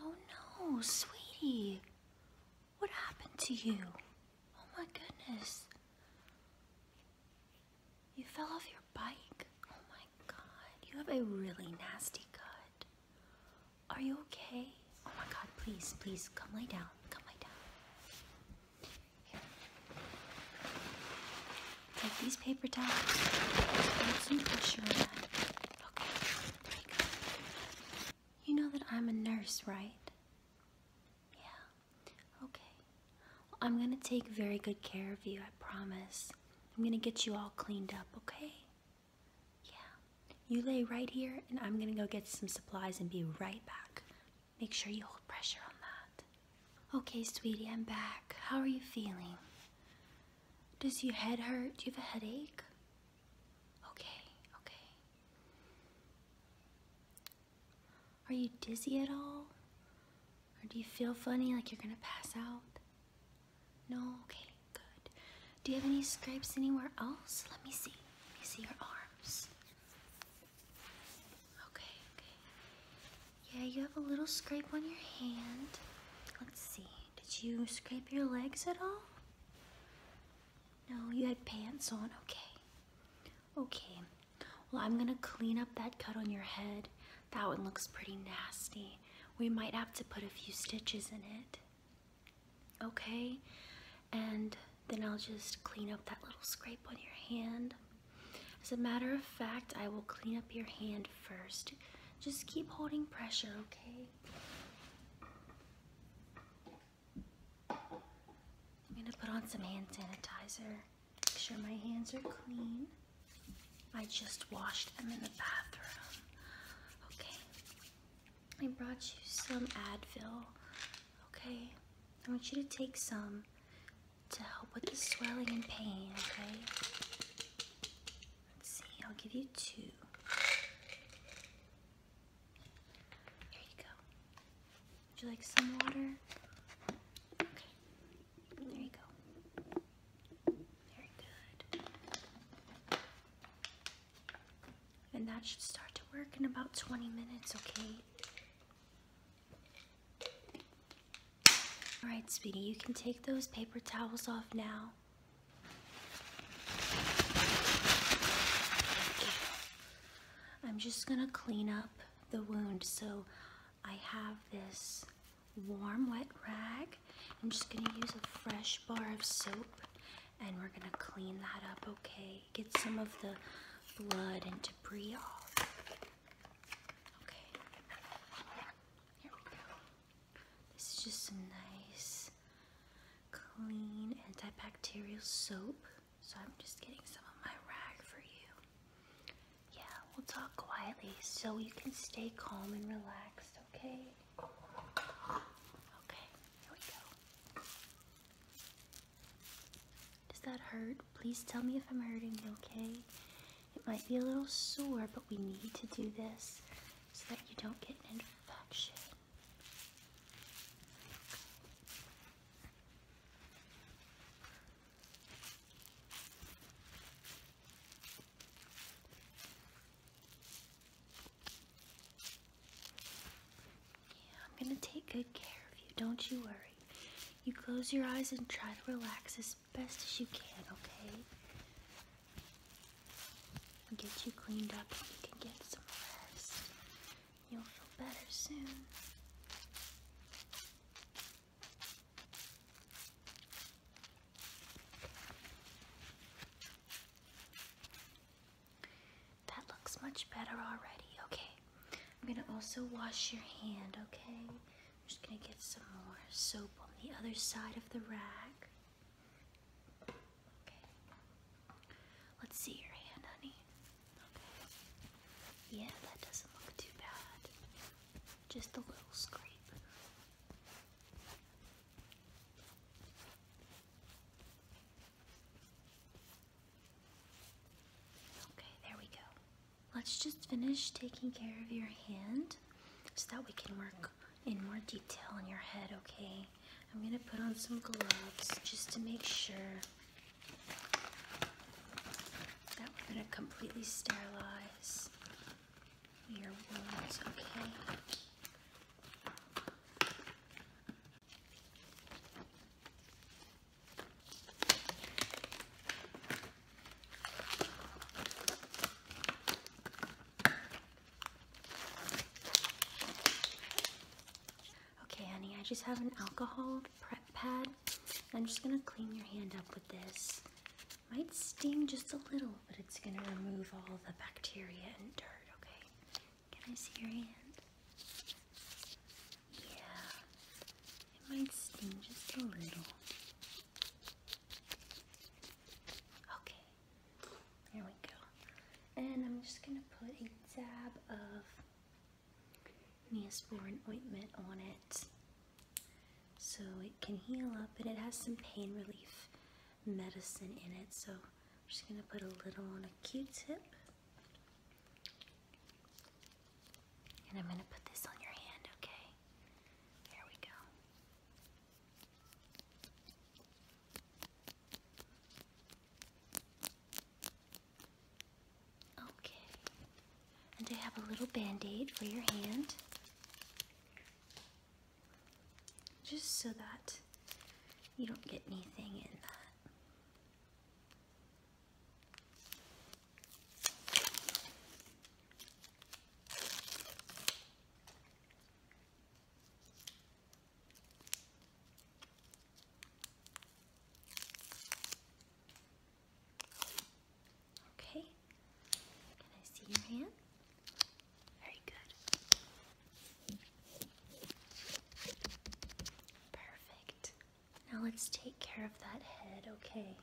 Oh no, sweetie. What happened to you? Oh my goodness. You fell off your bike? Oh my god, you have a really nasty cut. Are you okay? Oh my god, please, please, come lay down. Come lay down. Take these paper towels. You know that I'm a nurse, right? Yeah. Okay. I'm going to take very good care of you, I promise. I'm going to get you all cleaned up, okay? Yeah. You lay right here, and I'm going to go get some supplies and be right back. Make sure you hold pressure on that. Okay, sweetie, I'm back. How are you feeling? Does your head hurt? Do you have a headache? Okay, okay. Are you dizzy at all? Or do you feel funny like you're gonna pass out? No? Okay, good. Do you have any scrapes anywhere else? Let me see. Let me see your arms. Okay, okay. Yeah, you have a little scrape on your hand. Let's see. Did you scrape your legs at all? No, you had pants on. Okay. Okay. Well, I'm going to clean up that cut on your head. That one looks pretty nasty. We might have to put a few stitches in it. Okay? And then I'll just clean up that little scrape on your hand. As a matter of fact, I will clean up your hand first. Just keep holding pressure, okay? I'm gonna put on some hand sanitizer. Make sure my hands are clean. I just washed them in the bathroom. Okay. I brought you some Advil. Okay. I want you to take some to help with the swelling and pain, okay? Let's see, I'll give you two. Here you go. Would you like some water? Okay. There you go. Very good. And that should start to work in about 20 minutes, okay? Alright, Speedy. you can take those paper towels off now. I'm just gonna clean up the wound. So I have this warm wet rag. I'm just gonna use a fresh bar of soap and we're gonna clean that up, okay? Get some of the blood and debris off. Okay, here we go. This is just some nice, clean antibacterial soap. So I'm just getting some of my rag for you. Yeah, we'll talk quietly so you can stay calm and relaxed, okay? Okay, here we go. Does that hurt? Please tell me if I'm hurting, okay? It might be a little sore, but we need to do this so that you don't get an infection. Yeah, I'm going to take good care of you. Don't you worry. You close your eyes and try to relax as best as you can, okay? We'll get you cleaned up and you can get some rest. You'll feel better soon. That looks much better already. Okay. I'm going to also wash your hand, okay? I'm just going to get some more soap on the other side of the rag. Let's see your hand, honey. Yeah, that doesn't look too bad. Just a little scrape. Okay, there we go. Let's just finish taking care of your hand so that we can work in more detail on your head, okay? I'm gonna put on some gloves just to make sure that we're gonna completely sterilize your wounds, okay? Okay, honey, I just have an alcohol prep pad. I'm just gonna clean your hand up with this. Might sting just a little, but it's gonna remove all the bacteria and dirt, okay? Can I see your hand? Yeah, it might sting just a little. Okay, there we go. And I'm just going to put a dab of Neosporin ointment on it so it can heal up and it has some pain relief medicine in it. So I'm just going to put a little on a q-tip. And I'm going to put this on your hand, okay? There we go. Okay. And I have a little band-aid for your hand. Just so that you don't get anything in that. Okay. Can I see your hand? Very good. Perfect. Now let's take care of that head, okay?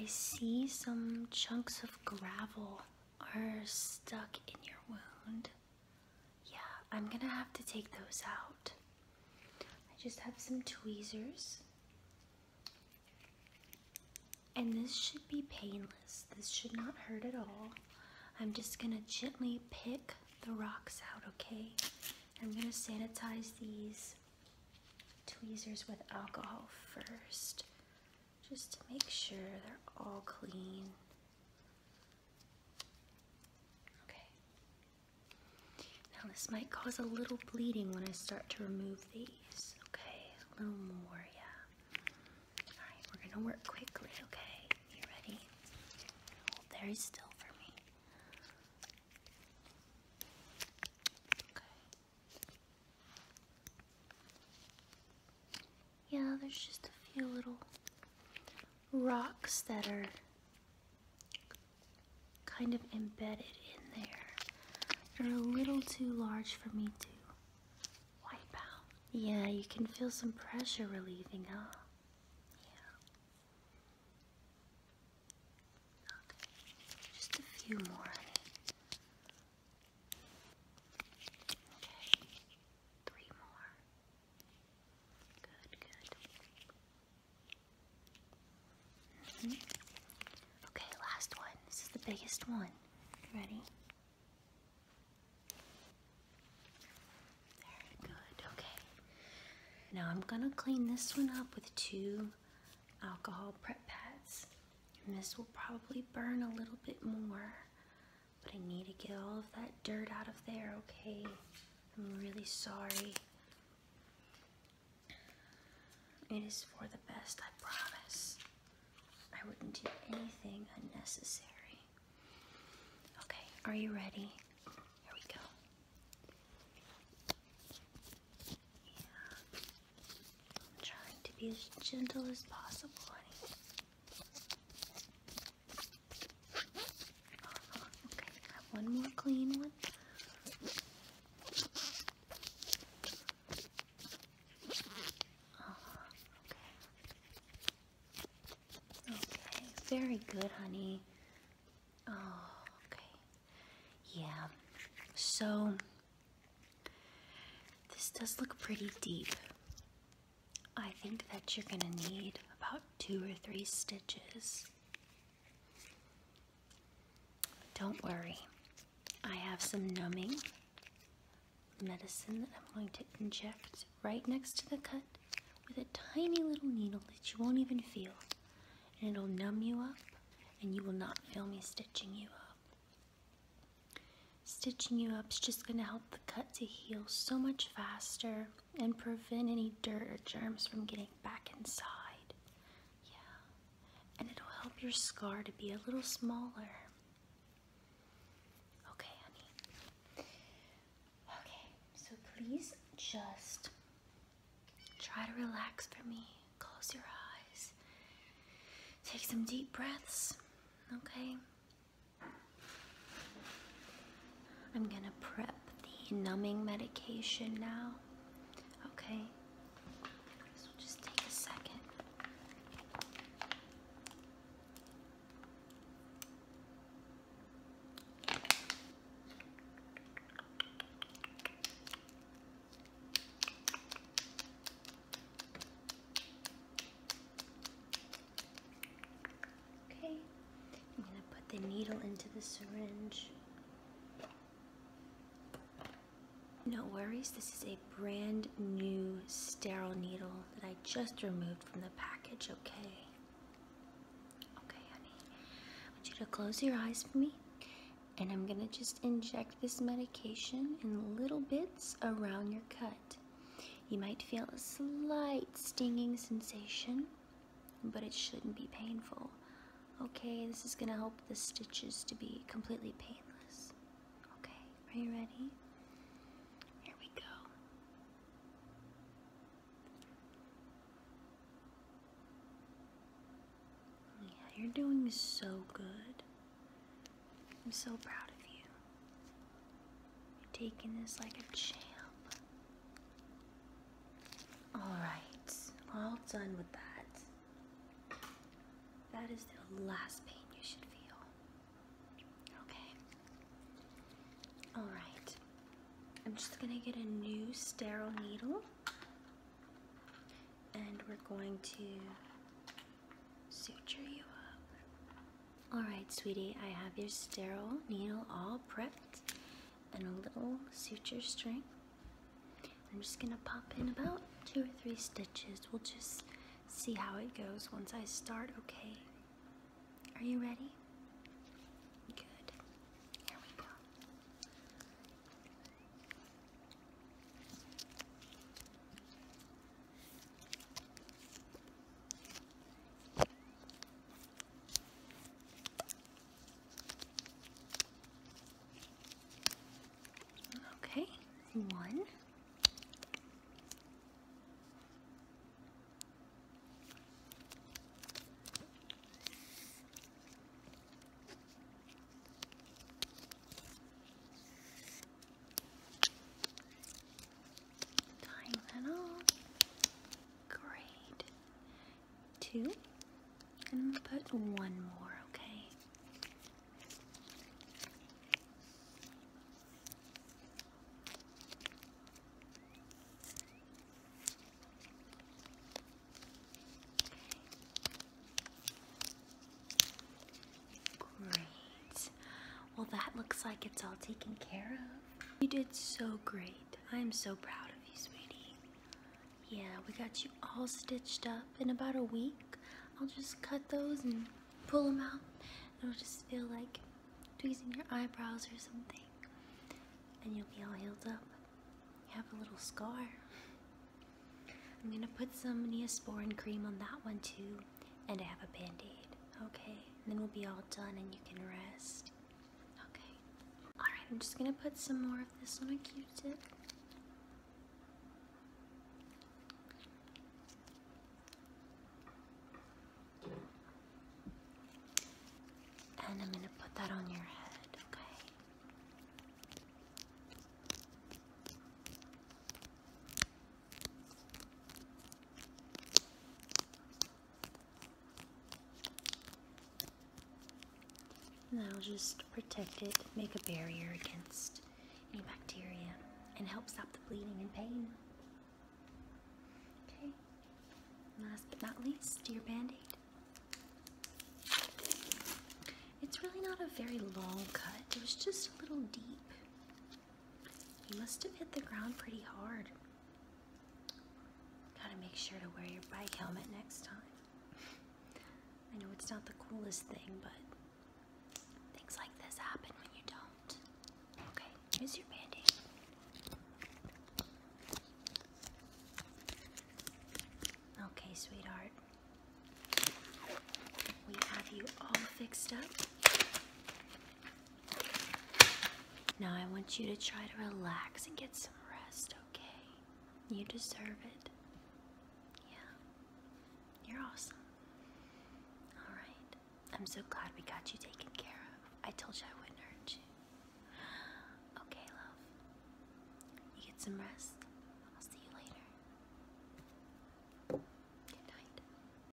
I see some chunks of gravel are stuck in your wound. Yeah, I'm gonna have to take those out. I just have some tweezers. And this should be painless. This should not hurt at all. I'm just gonna gently pick the rocks out, okay? I'm gonna sanitize these tweezers with alcohol first just to make sure they're all clean. Okay. Now this might cause a little bleeding when I start to remove these. Okay, a little more, yeah. Alright, we're gonna work quickly, okay? You ready? very still for me. Okay. Yeah, there's just a few little rocks that are kind of embedded in there. They're a little too large for me to wipe out. Yeah, you can feel some pressure relieving, huh? Yeah. just a few more. Okay, three more. Good, good. Mm-hmm. Okay, last one. This is the biggest one. Ready? Very good. Okay. Now I'm gonna clean this one up with two alcohol prep pads. And this will probably burn a little bit more but I need to get all of that dirt out of there, okay? I'm really sorry. It is for the best, I promise. I wouldn't do anything unnecessary. Okay, are you ready? Here we go. Yeah. I'm trying to be as gentle as possible, Okay, have one more clean one. Oh, okay. very good, honey. Oh, okay. Yeah. So this does look pretty deep. I think that you're going to need about two or three stitches. Don't worry, I have some numbing medicine that I'm going to inject right next to the cut with a tiny little needle that you won't even feel. And it'll numb you up, and you will not feel me stitching you up. Stitching you up is just going to help the cut to heal so much faster and prevent any dirt or germs from getting back inside. Yeah, and it'll help your scar to be a little smaller. Okay, honey. Okay, so please just try to relax for me. Close your eyes. Take some deep breaths, okay? I'm gonna prep the numbing medication now. Okay. This will just take a second. Okay, I'm gonna put the needle into the syringe. No worries, this is a brand new sterile needle that I just removed from the package, okay? Okay, honey. I want you to close your eyes for me. And I'm gonna just inject this medication in little bits around your cut. You might feel a slight stinging sensation, but it shouldn't be painful. Okay, this is going to help the stitches to be completely painless. Okay, are you ready? Here we go. Yeah, you're doing so good. I'm so proud of you. You're taking this like a champ. Alright, all done with that. That is the last pain you should feel. Okay. Alright. I'm just gonna get a new sterile needle and we're going to suture you up. Alright, sweetie, I have your sterile needle all prepped and a little suture string. I'm just gonna pop in about two or three stitches. We'll just see how it goes once I start, okay? Are you ready? Good. Here we go. Okay, one. Tying that on. Great. Two. And put one more, okay? Okay. Great. Well, that looks like it's all taken care of. You did so great. I am so proud of you, sweetie. Yeah, we got you all stitched up in about a week. I'll just cut those and pull them out. It'll just feel like tweezing your eyebrows or something. And you'll be all healed up. You have a little scar. I'm gonna put some Neosporin cream on that one too. And I have a band-aid okay? then we'll be all done and you can rest. Okay. Alright, I'm just gonna put some more of this on a q tip. And I'm gonna put that on your head, okay? And that'll just protect it, make a barrier against any bacteria, and help stop the bleeding and pain. Okay, last but not least, your band aid. It's really not a very long cut, it was just a little deep. You must have hit the ground pretty hard. Gotta make sure to wear your bike helmet next time. I know it's not the coolest thing, but things like this happen when you don't. Okay, here's your band Okay, sweetheart. We have you all fixed up. Now I want you to try to relax and get some rest, okay? You deserve it. Yeah. You're awesome. Alright. I'm so glad we got you taken care of. I told you I wouldn't hurt you. Okay, love. You get some rest. I'll see you later. Good night.